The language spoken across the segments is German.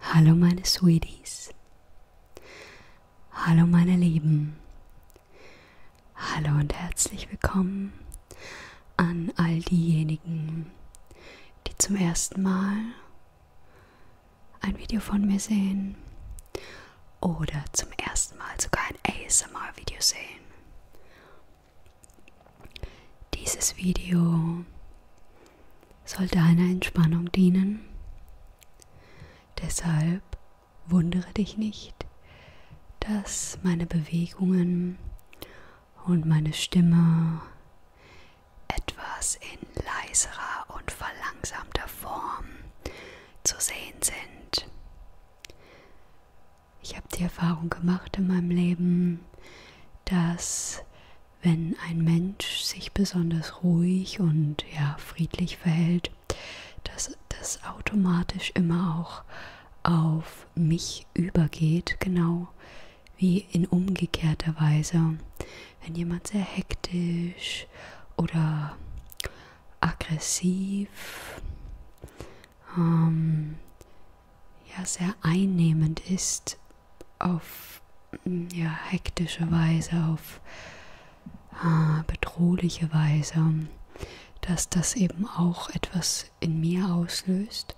Hallo meine Sweeties. Hallo meine Lieben. Hallo und herzlich willkommen an all diejenigen, die zum ersten Mal ein Video von mir sehen oder zum ersten Mal sogar ein ASMR-Video sehen. Dieses Video soll deiner Entspannung dienen. Deshalb wundere dich nicht, dass meine Bewegungen und meine Stimme etwas in leiserer und verlangsamter Form zu sehen sind. Ich habe die Erfahrung gemacht in meinem Leben, dass wenn ein Mensch sich besonders ruhig und ja friedlich verhält, dass das automatisch immer auch auf mich übergeht, genau wie in umgekehrter Weise. Wenn jemand sehr hektisch oder aggressiv, ähm, ja sehr einnehmend ist, auf hm, ja, hektische Weise, auf äh, bedrohliche Weise, dass das eben auch etwas in mir auslöst.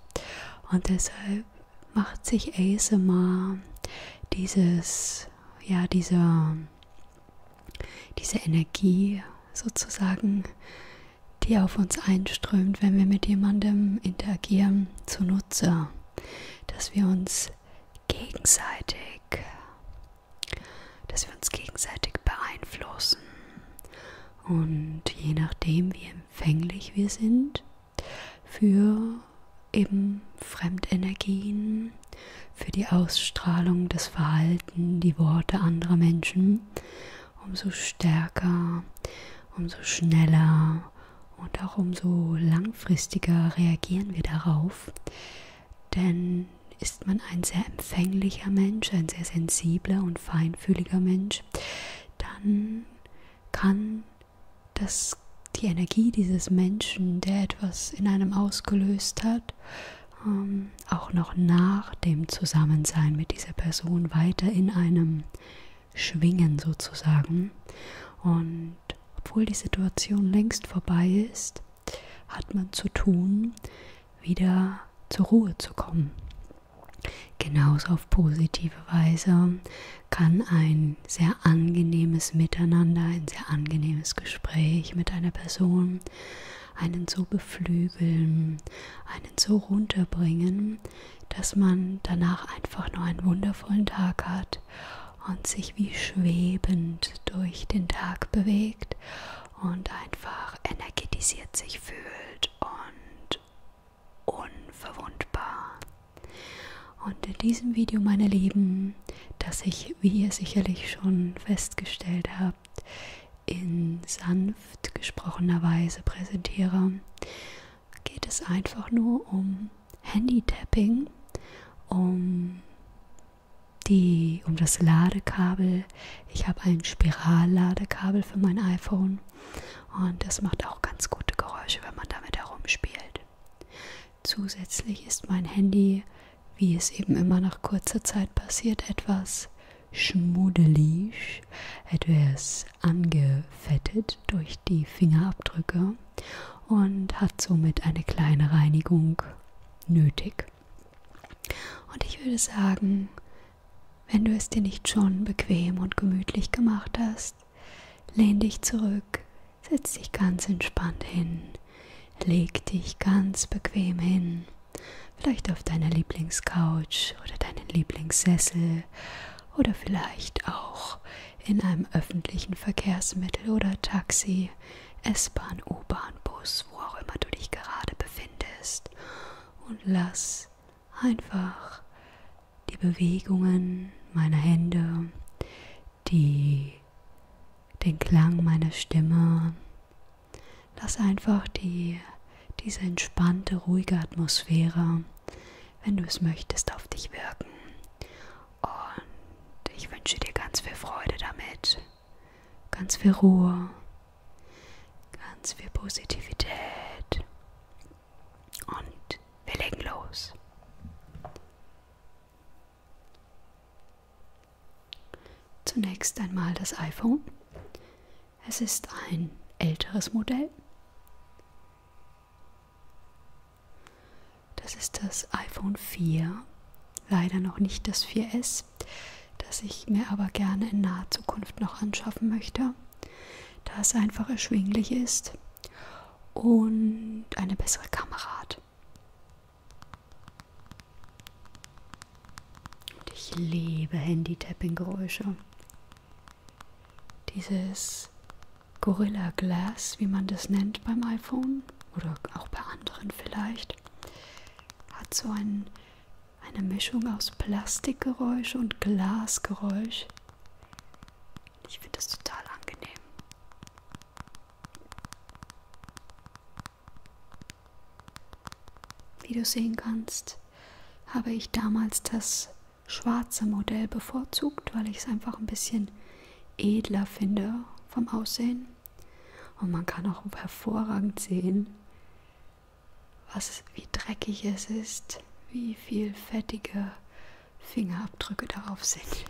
Und deshalb macht sich ASMR dieses, ja, diese, diese Energie sozusagen, die auf uns einströmt, wenn wir mit jemandem interagieren, zunutze dass wir uns gegenseitig, dass wir uns gegenseitig beeinflussen. Und je nachdem, wie empfänglich wir sind für eben Fremdenergien, für die Ausstrahlung, das Verhalten, die Worte anderer Menschen, umso stärker, umso schneller und auch umso langfristiger reagieren wir darauf. Denn ist man ein sehr empfänglicher Mensch, ein sehr sensibler und feinfühliger Mensch, dann kann das, die Energie dieses Menschen, der etwas in einem ausgelöst hat, ähm, auch noch nach dem Zusammensein mit dieser Person weiter in einem schwingen sozusagen. Und obwohl die Situation längst vorbei ist, hat man zu tun, wieder zur Ruhe zu kommen. Genauso auf positive Weise kann ein sehr angenehmes Miteinander, ein sehr angenehmes Gespräch mit einer Person einen so beflügeln, einen so runterbringen, dass man danach einfach noch einen wundervollen Tag hat und sich wie schwebend durch den Tag bewegt und einfach energetisiert sich fühlt und unverwundbar. Und in diesem Video, meine Lieben, das ich, wie ihr sicherlich schon festgestellt habt, in sanft gesprochener Weise präsentiere, geht es einfach nur um Handy-Tapping, um, die, um das Ladekabel. Ich habe ein Spiralladekabel für mein iPhone und das macht auch ganz gute Geräusche, wenn man damit herumspielt. Zusätzlich ist mein Handy, wie es eben immer nach kurzer Zeit passiert, etwas schmuddelig, etwas ist angefettet durch die Fingerabdrücke und hat somit eine kleine Reinigung nötig. Und ich würde sagen, wenn du es dir nicht schon bequem und gemütlich gemacht hast, lehn dich zurück, setz dich ganz entspannt hin, leg dich ganz bequem hin, vielleicht auf deiner Lieblingscouch oder deinen Lieblingssessel oder vielleicht auch in einem öffentlichen Verkehrsmittel oder Taxi, S-Bahn, U-Bahn, Bus, wo auch immer du dich gerade befindest. Und lass einfach die Bewegungen meiner Hände, die, den Klang meiner Stimme, lass einfach die, diese entspannte, ruhige Atmosphäre, wenn du es möchtest, auf dich wirken. Und ich wünsche dir ganz viel Freude damit, ganz viel Ruhe, ganz viel Positivität. Und wir legen los. Zunächst einmal das iPhone. Es ist ein älteres Modell. Das ist das iPhone 4, leider noch nicht das 4S, das ich mir aber gerne in naher Zukunft noch anschaffen möchte, da es einfach erschwinglich ist und eine bessere Kamera hat. Und ich liebe Handy-Tapping-Geräusche dieses Gorilla Glass, wie man das nennt beim iPhone oder auch bei anderen vielleicht, hat so ein, eine Mischung aus Plastikgeräusch und Glasgeräusch. Ich finde das total angenehm. Wie du sehen kannst, habe ich damals das schwarze Modell bevorzugt, weil ich es einfach ein bisschen edler finde vom Aussehen. Und man kann auch hervorragend sehen, was, wie dreckig es ist, wie viel fettige Fingerabdrücke darauf sind.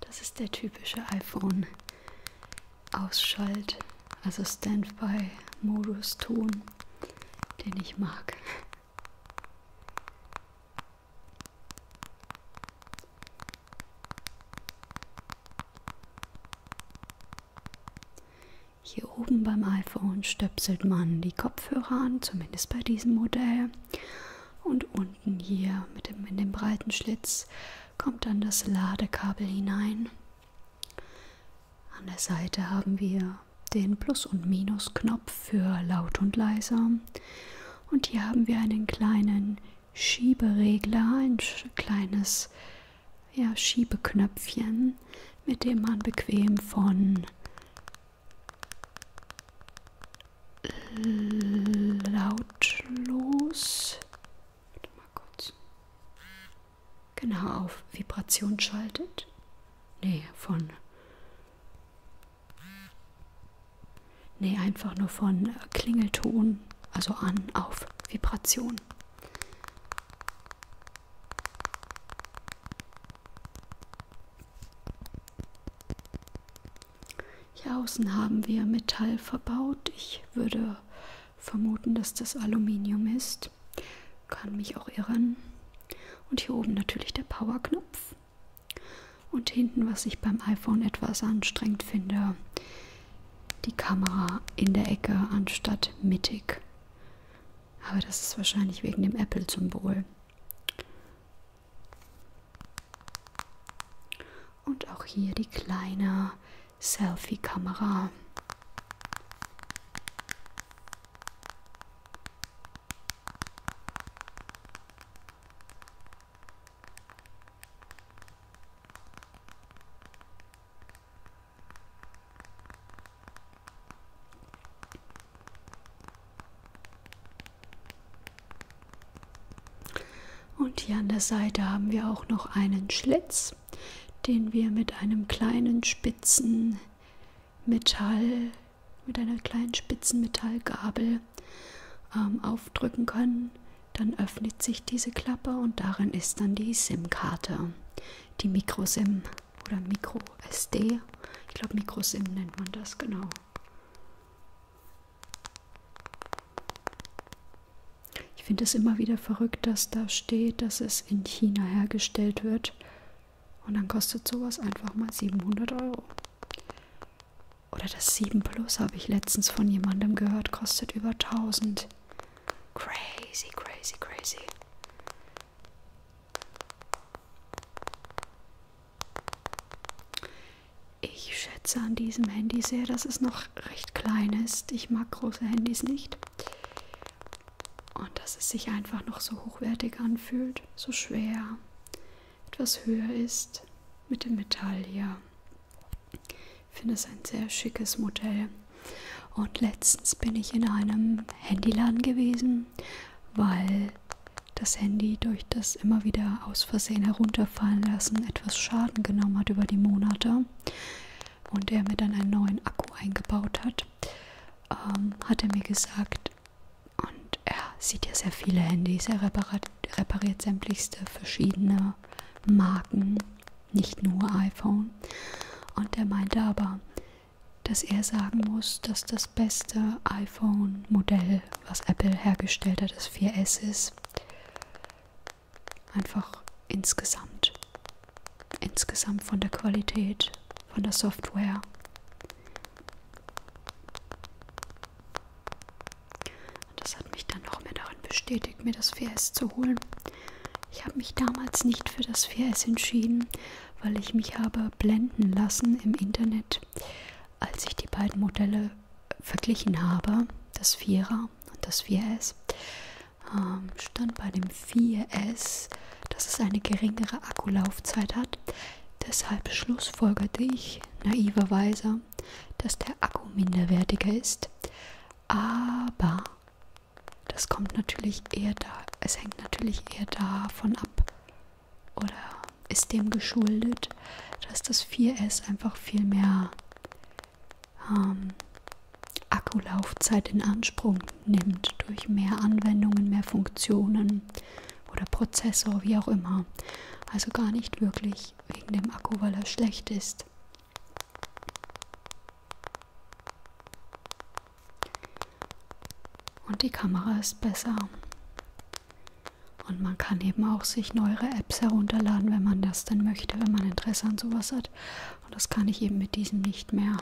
Das ist der typische iPhone-Ausschalt, also Standby-Modus-Ton, den ich mag. Hier oben beim iPhone stöpselt man die Kopfhörer an, zumindest bei diesem Modell. Und unten hier mit dem, in dem breiten Schlitz kommt dann das Ladekabel hinein. An der Seite haben wir den Plus- und Minus-Knopf für laut und leiser. Und hier haben wir einen kleinen Schieberegler, ein kleines ja, Schiebeknöpfchen, mit dem man bequem von lautlos. Mal kurz. Genau, auf Vibration schaltet. Nee, von. Nee, einfach nur von äh, Klingelton, also an, auf Vibration. Hier außen haben wir Metall verbaut. Ich würde vermuten, dass das Aluminium ist. Kann mich auch irren. Und hier oben natürlich der Powerknopf. Und hinten, was ich beim iPhone etwas anstrengend finde, die Kamera in der Ecke anstatt mittig. Aber das ist wahrscheinlich wegen dem Apple-Symbol. Und auch hier die kleine Selfie-Kamera. Und hier an der Seite haben wir auch noch einen Schlitz, den wir mit einem kleinen spitzen Metall, mit einer kleinen spitzen Metallgabel ähm, aufdrücken können. Dann öffnet sich diese Klappe und darin ist dann die SIM-Karte, die Micro-SIM oder Micro SD. Ich glaube, Micro-SIM nennt man das genau. Ich finde es immer wieder verrückt, dass da steht, dass es in China hergestellt wird. Und dann kostet sowas einfach mal 700 Euro. Oder das 7 Plus habe ich letztens von jemandem gehört, kostet über 1000. Crazy, crazy, crazy. Ich schätze an diesem Handy sehr, dass es noch recht klein ist. Ich mag große Handys nicht. Und dass es sich einfach noch so hochwertig anfühlt, so schwer, etwas höher ist mit dem Metall hier. Ich finde es ein sehr schickes Modell. Und letztens bin ich in einem Handyladen gewesen, weil das Handy durch das immer wieder aus Versehen herunterfallen lassen etwas Schaden genommen hat über die Monate und er mir dann einen neuen Akku eingebaut hat, ähm, hat er mir gesagt, und er sieht ja sehr viele Handys, er repariert, repariert sämtlichste verschiedene Marken, nicht nur iPhone. Und er meinte aber, dass er sagen muss, dass das beste iPhone-Modell, was Apple hergestellt hat, das 4S ist. Einfach insgesamt. Insgesamt von der Qualität, von der Software. Und das hat mich dann noch mehr darin bestätigt, mir das 4S zu holen. Ich habe mich damals nicht für das 4S entschieden, weil ich mich habe blenden lassen im Internet als ich die beiden Modelle verglichen habe, das 4er und das 4S, ähm, stand bei dem 4S, dass es eine geringere Akkulaufzeit hat. Deshalb schlussfolgerte ich naiverweise, dass der Akku minderwertiger ist. Aber das kommt natürlich eher da, es hängt natürlich eher davon ab, oder ist dem geschuldet, dass das 4S einfach viel mehr ähm, Akkulaufzeit in Anspruch nimmt durch mehr Anwendungen, mehr Funktionen oder Prozessor, wie auch immer. Also gar nicht wirklich wegen dem Akku, weil er schlecht ist. Und die Kamera ist besser. Und man kann eben auch sich neuere Apps herunterladen, wenn man das denn möchte, wenn man Interesse an sowas hat. Und das kann ich eben mit diesem nicht mehr.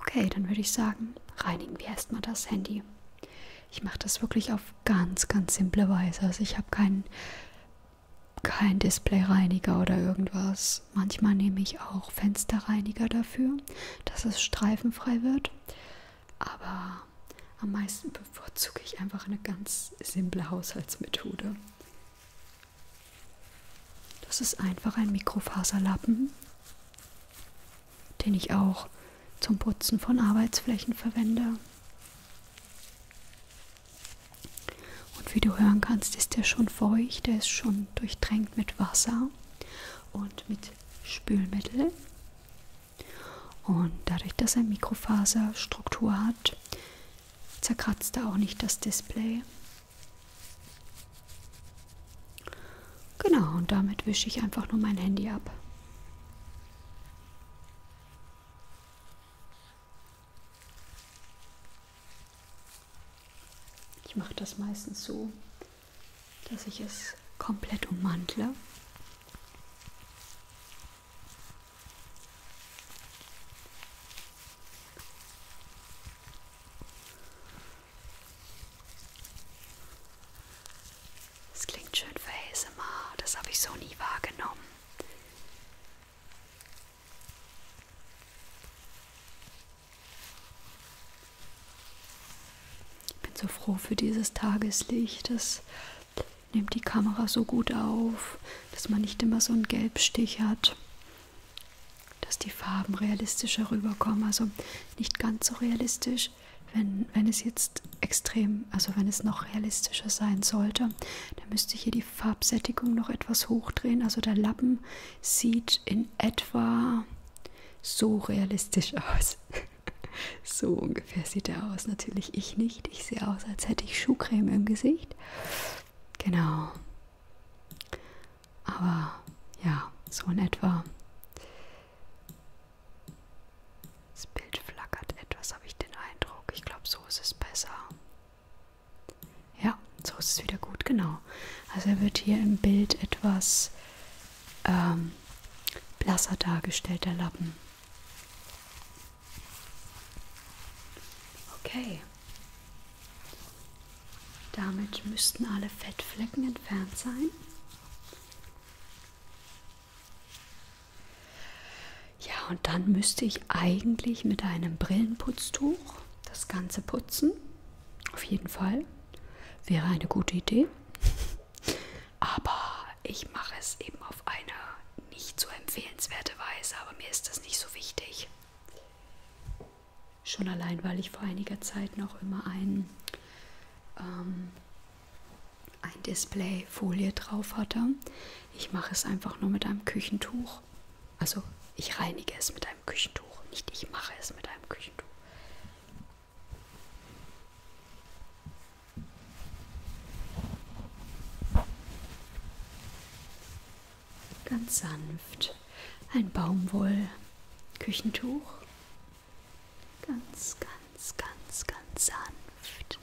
Okay, dann würde ich sagen, reinigen wir erstmal das Handy. Ich mache das wirklich auf ganz, ganz simple Weise. Also ich habe keinen kein Displayreiniger oder irgendwas aus. Manchmal nehme ich auch Fensterreiniger dafür, dass es streifenfrei wird. Aber am meisten bevorzuge ich einfach eine ganz simple Haushaltsmethode. Das ist einfach ein Mikrofaserlappen, den ich auch zum Putzen von Arbeitsflächen verwende. Und wie du hören kannst, ist der schon feucht, der ist schon durchtränkt mit Wasser und mit Spülmittel. Und dadurch, dass er Mikrofaserstruktur hat, zerkratzt er auch nicht das Display. Genau, und damit wische ich einfach nur mein Handy ab. Ich mache das meistens so, dass ich es komplett ummantle. Es klingt schön für ASMR, das habe ich so nie wahrgenommen. Ich bin so froh für dieses Tageslicht. Das nimmt die Kamera so gut auf, dass man nicht immer so einen Gelbstich hat. Dass die Farben realistischer rüberkommen. Also nicht ganz so realistisch, wenn, wenn es jetzt extrem, also wenn es noch realistischer sein sollte, dann müsste ich hier die Farbsättigung noch etwas hochdrehen. Also der Lappen sieht in etwa so realistisch aus. so ungefähr sieht er aus. Natürlich ich nicht. Ich sehe aus, als hätte ich Schuhcreme im Gesicht. Genau. Aber ja, so in etwa. Das Bild flackert etwas, habe ich den Eindruck. Ich glaube, so ist es besser. Ja, so ist es wieder gut, genau. Also er wird hier im Bild etwas ähm, blasser dargestellt, der Lappen. Okay. Damit müssten alle Fettflecken entfernt sein. Ja, und dann müsste ich eigentlich mit einem Brillenputztuch das Ganze putzen. Auf jeden Fall. Wäre eine gute Idee. Aber ich mache es eben auf eine nicht so empfehlenswerte Weise, aber mir ist das nicht so wichtig. Schon allein, weil ich vor einiger Zeit noch immer ein, ähm, ein Displayfolie drauf hatte. Ich mache es einfach nur mit einem Küchentuch. Also ich reinige es mit einem Küchentuch, nicht ich mache es mit einem Küchentuch. Ganz sanft. Ein Baumwoll-Küchentuch. Ganz, ganz, ganz, ganz sanft.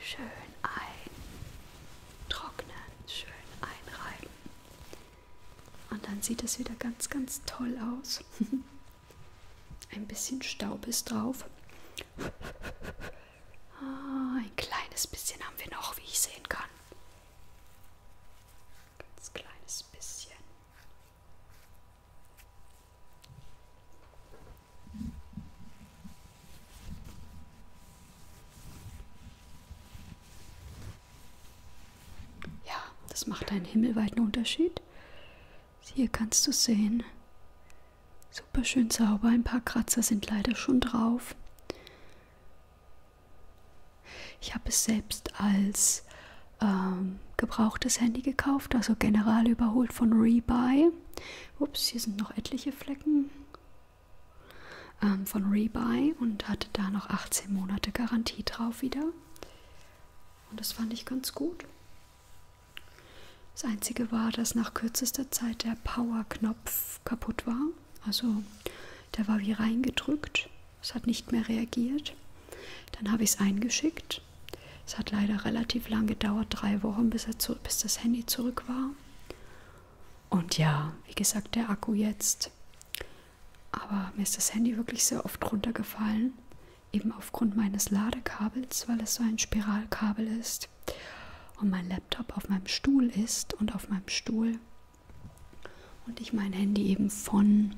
Schön eintrocknen, schön einreiben. Und dann sieht es wieder ganz, ganz toll aus. ein bisschen Staub ist drauf. Ah, ein kleines bisschen haben wir noch, wie ich sehen kann. Ganz kleines bisschen. Ja, das macht einen himmelweiten Unterschied. Hier kannst du sehen. Super schön sauber. Ein paar Kratzer sind leider schon drauf. Ich habe es selbst als ähm, gebrauchtes Handy gekauft, also general überholt von Rebuy. Ups, hier sind noch etliche Flecken ähm, von Rebuy und hatte da noch 18 Monate Garantie drauf wieder. Und das fand ich ganz gut. Das Einzige war, dass nach kürzester Zeit der Power-Knopf kaputt war. Also der war wie reingedrückt. Es hat nicht mehr reagiert. Dann habe ich es eingeschickt. Es hat leider relativ lang gedauert, drei Wochen, bis, er zu, bis das Handy zurück war. Und ja, wie gesagt, der Akku jetzt aber mir ist das Handy wirklich sehr oft runtergefallen, eben aufgrund meines Ladekabels, weil es so ein Spiralkabel ist und mein Laptop auf meinem Stuhl ist und auf meinem Stuhl und ich mein Handy eben von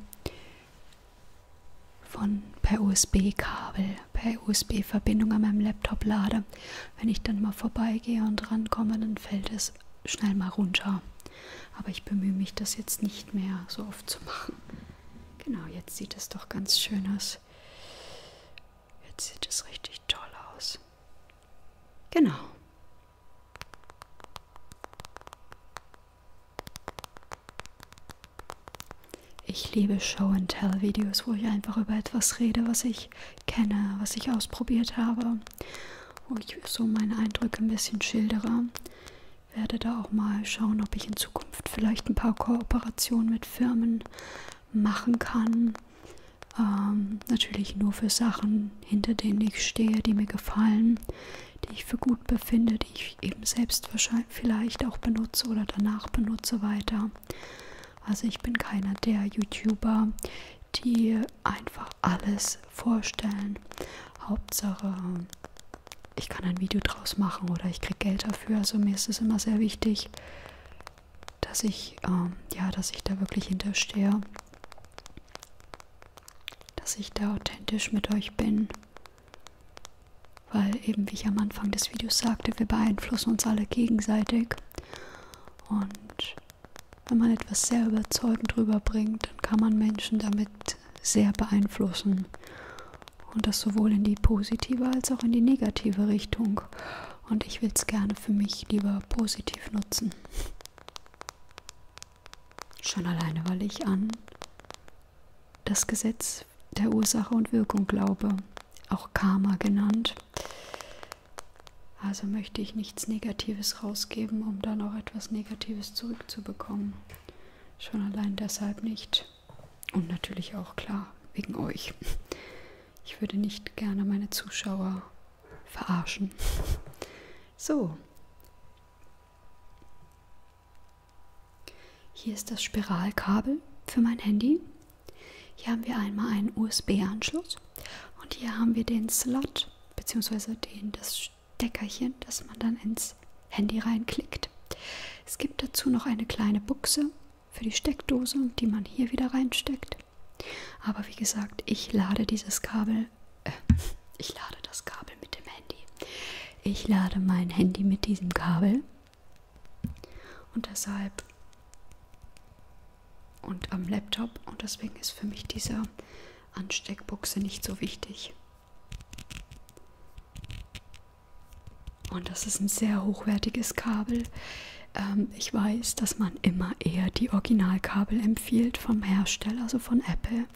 von per USB-Kabel, per USB-Verbindung an meinem Laptop lade. Wenn ich dann mal vorbeigehe und rankomme, dann fällt es schnell mal runter. Aber ich bemühe mich, das jetzt nicht mehr so oft zu machen. Genau, jetzt sieht es doch ganz schön aus. Jetzt sieht es richtig toll aus. Genau. Ich liebe Show-and-Tell-Videos, wo ich einfach über etwas rede, was ich kenne, was ich ausprobiert habe, wo ich so meine Eindrücke ein bisschen schildere werde da auch mal schauen, ob ich in Zukunft vielleicht ein paar Kooperationen mit Firmen machen kann. Ähm, natürlich nur für Sachen, hinter denen ich stehe, die mir gefallen, die ich für gut befinde, die ich eben selbst wahrscheinlich vielleicht auch benutze oder danach benutze weiter. Also ich bin keiner der YouTuber, die einfach alles vorstellen. Hauptsache, ich kann ein Video draus machen oder ich kriege Geld dafür. Also mir ist es immer sehr wichtig, dass ich, ähm, ja, dass ich da wirklich hinterstehe. Dass ich da authentisch mit euch bin. Weil eben, wie ich am Anfang des Videos sagte, wir beeinflussen uns alle gegenseitig. Und wenn man etwas sehr überzeugend rüberbringt, dann kann man Menschen damit sehr beeinflussen. Und das sowohl in die positive als auch in die negative Richtung. Und ich will es gerne für mich lieber positiv nutzen. Schon alleine, weil ich an das Gesetz der Ursache und Wirkung glaube, auch Karma genannt. Also möchte ich nichts Negatives rausgeben, um dann auch etwas Negatives zurückzubekommen. Schon allein deshalb nicht. Und natürlich auch klar, wegen euch. Ich würde nicht gerne meine Zuschauer verarschen. So. Hier ist das Spiralkabel für mein Handy. Hier haben wir einmal einen USB-Anschluss und hier haben wir den Slot bzw. den das Steckerchen, das man dann ins Handy reinklickt. Es gibt dazu noch eine kleine Buchse für die Steckdose, die man hier wieder reinsteckt. Aber wie gesagt, ich lade dieses Kabel, äh, ich lade das Kabel mit dem Handy. Ich lade mein Handy mit diesem Kabel. Und deshalb und am Laptop und deswegen ist für mich diese Ansteckbuchse nicht so wichtig. Und das ist ein sehr hochwertiges Kabel. Ähm, ich weiß, dass man immer eher die Originalkabel empfiehlt vom Hersteller, also von Apple.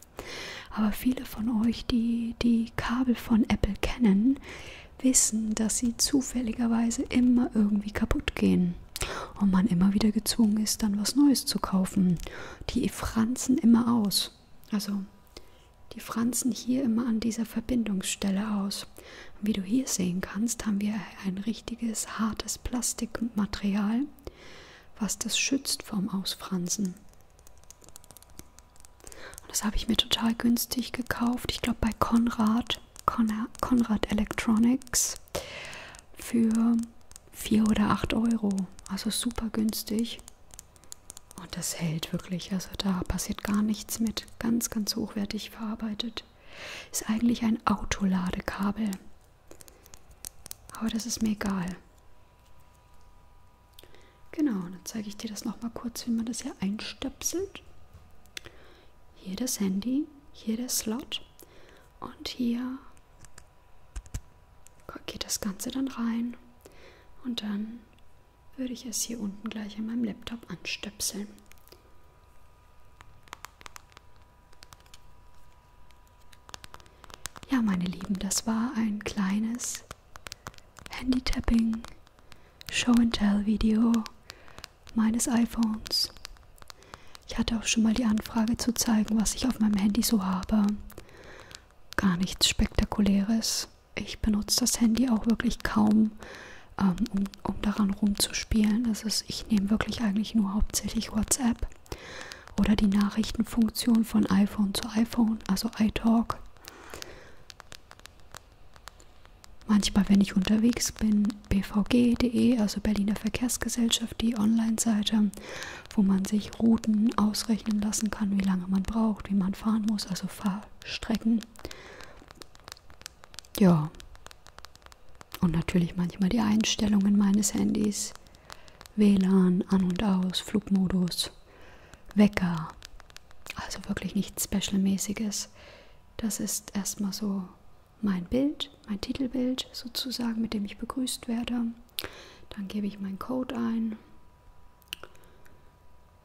Aber viele von euch, die die Kabel von Apple kennen, wissen, dass sie zufälligerweise immer irgendwie kaputt gehen und man immer wieder gezwungen ist, dann was Neues zu kaufen. Die franzen immer aus also die fransen hier immer an dieser verbindungsstelle aus und wie du hier sehen kannst haben wir ein richtiges hartes plastikmaterial was das schützt vom ausfransen und das habe ich mir total günstig gekauft ich glaube bei konrad Con konrad electronics für 4 oder 8 euro also super günstig und das hält wirklich, also da passiert gar nichts mit. Ganz, ganz hochwertig verarbeitet. Ist eigentlich ein Autoladekabel. Aber das ist mir egal. Genau, dann zeige ich dir das nochmal kurz, wie man das hier einstöpselt. Hier das Handy, hier der Slot und hier geht das Ganze dann rein und dann würde ich es hier unten gleich an meinem Laptop anstöpseln. Ja, meine Lieben, das war ein kleines Handy-Tapping Show-and-Tell-Video meines iPhones. Ich hatte auch schon mal die Anfrage zu zeigen, was ich auf meinem Handy so habe gar nichts Spektakuläres. Ich benutze das Handy auch wirklich kaum, ähm, um, um daran rumzuspielen. Das ist, ich nehme wirklich eigentlich nur hauptsächlich WhatsApp oder die Nachrichtenfunktion von iPhone zu iPhone, also iTalk. Manchmal, wenn ich unterwegs bin, bvg.de, also Berliner Verkehrsgesellschaft, die Online-Seite, wo man sich Routen ausrechnen lassen kann, wie lange man braucht, wie man fahren muss, also Fahrstrecken. Ja. Und natürlich manchmal die Einstellungen meines Handys. WLAN, An und Aus, Flugmodus, Wecker. Also wirklich nichts Specialmäßiges. Das ist erstmal so mein Bild, mein Titelbild sozusagen, mit dem ich begrüßt werde. Dann gebe ich meinen Code ein.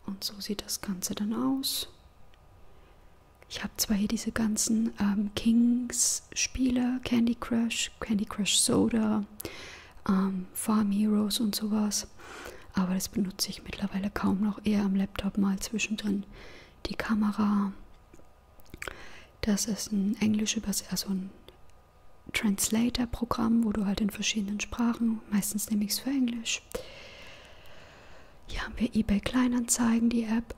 Und so sieht das Ganze dann aus. Ich habe zwar hier diese ganzen ähm, Kings-Spiele, Candy Crush, Candy Crush Soda, ähm, Farm Heroes und sowas, aber das benutze ich mittlerweile kaum noch, eher am Laptop mal zwischendrin. Die Kamera, das ist ein englisch, also ein Translator-Programm, wo du halt in verschiedenen Sprachen, meistens nehme ich es für Englisch. Hier haben wir eBay Kleinanzeigen, die App,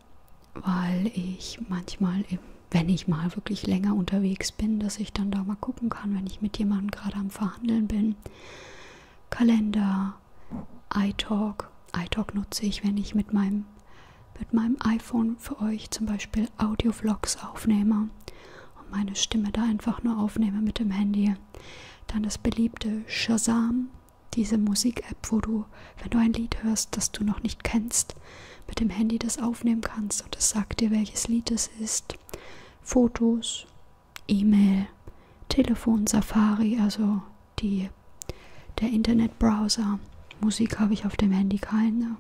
weil ich manchmal, wenn ich mal wirklich länger unterwegs bin, dass ich dann da mal gucken kann, wenn ich mit jemandem gerade am Verhandeln bin. Kalender, iTalk. iTalk nutze ich, wenn ich mit meinem, mit meinem iPhone für euch zum Beispiel viel Audio-Vlogs aufnehme und meine Stimme da einfach nur aufnehme mit dem Handy, dann das beliebte Shazam, diese Musik-App, wo du, wenn du ein Lied hörst, das du noch nicht kennst, mit dem Handy das aufnehmen kannst und es sagt dir, welches Lied es ist. Fotos, E-Mail, Telefon, Safari, also die, der Internetbrowser. Musik habe ich auf dem Handy keine.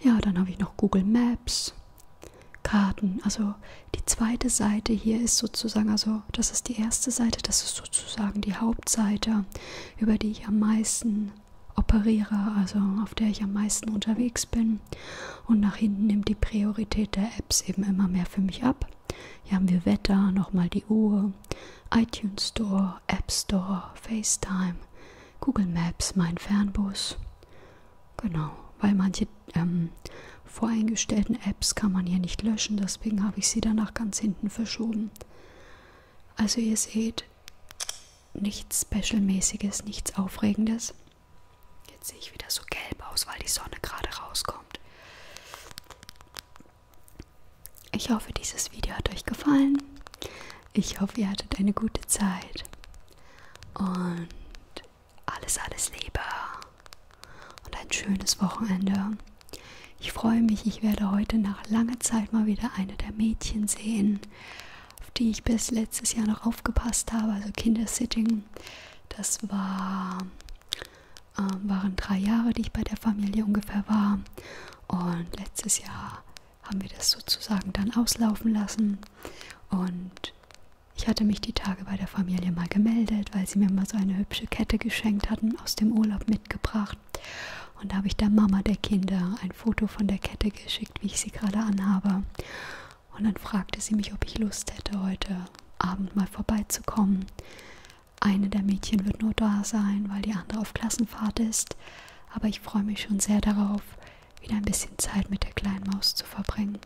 Ja, dann habe ich noch Google Maps, Karten. Also die zweite Seite hier ist sozusagen, also das ist die erste Seite, das ist sozusagen die Hauptseite, über die ich am meisten operiere, also auf der ich am meisten unterwegs bin. Und nach hinten nimmt die Priorität der Apps eben immer mehr für mich ab. Hier haben wir Wetter, nochmal die Uhr, iTunes Store, App Store, FaceTime, Google Maps mein Fernbus. Genau, weil manche ähm, voreingestellten Apps kann man hier nicht löschen, deswegen habe ich sie danach ganz hinten verschoben. Also ihr seht, nichts Specialmäßiges, nichts Aufregendes. Jetzt sehe ich wieder so gelb aus, weil die Sonne gerade rauskommt. Ich hoffe, dieses Video hat euch gefallen. Ich hoffe, ihr hattet eine gute Zeit. Und alles, alles Liebe. Und ein schönes Wochenende. Ich freue mich, ich werde heute nach langer Zeit mal wieder eine der Mädchen sehen, auf die ich bis letztes Jahr noch aufgepasst habe. Also Kindersitting. Das war, äh, waren drei Jahre, die ich bei der Familie ungefähr war. Und letztes Jahr haben wir das sozusagen dann auslaufen lassen. Und ich hatte mich die Tage bei der Familie mal gemeldet, weil sie mir mal so eine hübsche Kette geschenkt hatten, aus dem Urlaub mitgebracht. Und da habe ich der Mama der Kinder ein Foto von der Kette geschickt, wie ich sie gerade anhabe. Und dann fragte sie mich, ob ich Lust hätte, heute Abend mal vorbeizukommen. Eine der Mädchen wird nur da sein, weil die andere auf Klassenfahrt ist aber ich freue mich schon sehr darauf, wieder ein bisschen Zeit mit der kleinen Maus zu verbringen.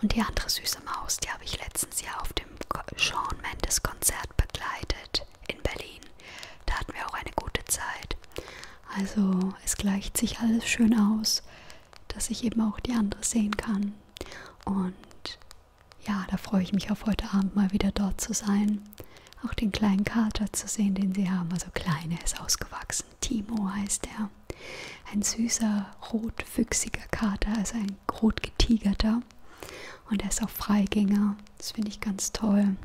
Und die andere süße Maus, die habe ich letztens ja auf dem Sean Mendes Konzert begleitet in Berlin. Da hatten wir auch eine gute Zeit. Also es gleicht sich alles schön aus, dass ich eben auch die andere sehen kann. Und ja, da freue ich mich auf heute Abend mal wieder dort zu sein auch den kleinen Kater zu sehen, den sie haben. Also kleine ist ausgewachsen. Timo heißt er. Ein süßer, rotwüchsiger Kater, also ein rotgetigerter. Und er ist auch Freigänger. Das finde ich ganz toll.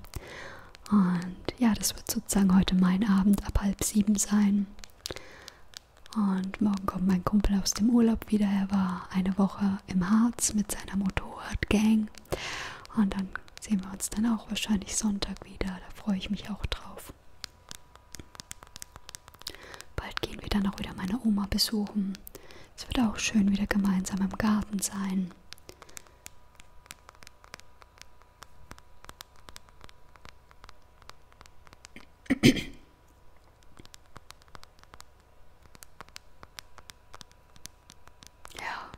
Und ja, das wird sozusagen heute mein Abend ab halb sieben sein. Und morgen kommt mein Kumpel aus dem Urlaub wieder. Er war eine Woche im Harz mit seiner Motorradgang. Und dann sehen wir uns dann auch wahrscheinlich Sonntag wieder. Da freue ich mich auch drauf. Bald gehen wir dann auch wieder meine Oma besuchen. Es wird auch schön wieder gemeinsam im Garten sein. Ja.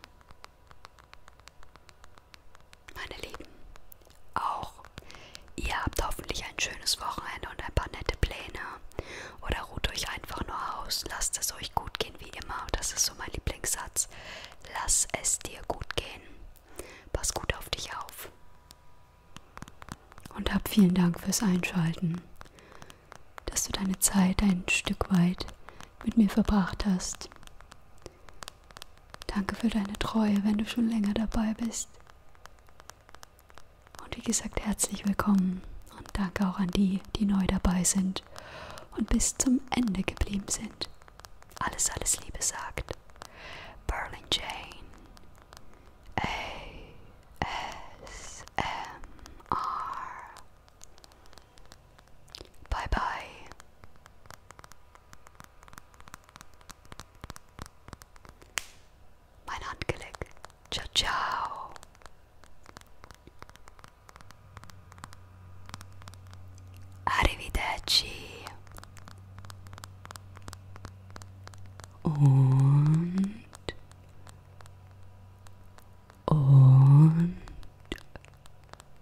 Meine Lieben, auch ihr habt hoffentlich ein schönes Wochenende und ein paar nette Pläne. Oder ruht euch einfach nur aus. Lasst es euch gut gehen wie immer. Das ist so mein Lieblingssatz. Lass es dir gut gehen. Pass gut auf dich auf. Und hab vielen Dank fürs Einschalten, dass du deine Zeit ein Stück weit mit mir verbracht hast. Danke für deine Treue, wenn du schon länger dabei bist. Und wie gesagt, herzlich willkommen und danke auch an die, die neu dabei sind und bis zum Ende geblieben sind. Alles, alles Liebe sagt. Berlin Jane. A S M R. Bye bye. Mein Handgelenk. Ciao, ciao. Arrivederci. Und und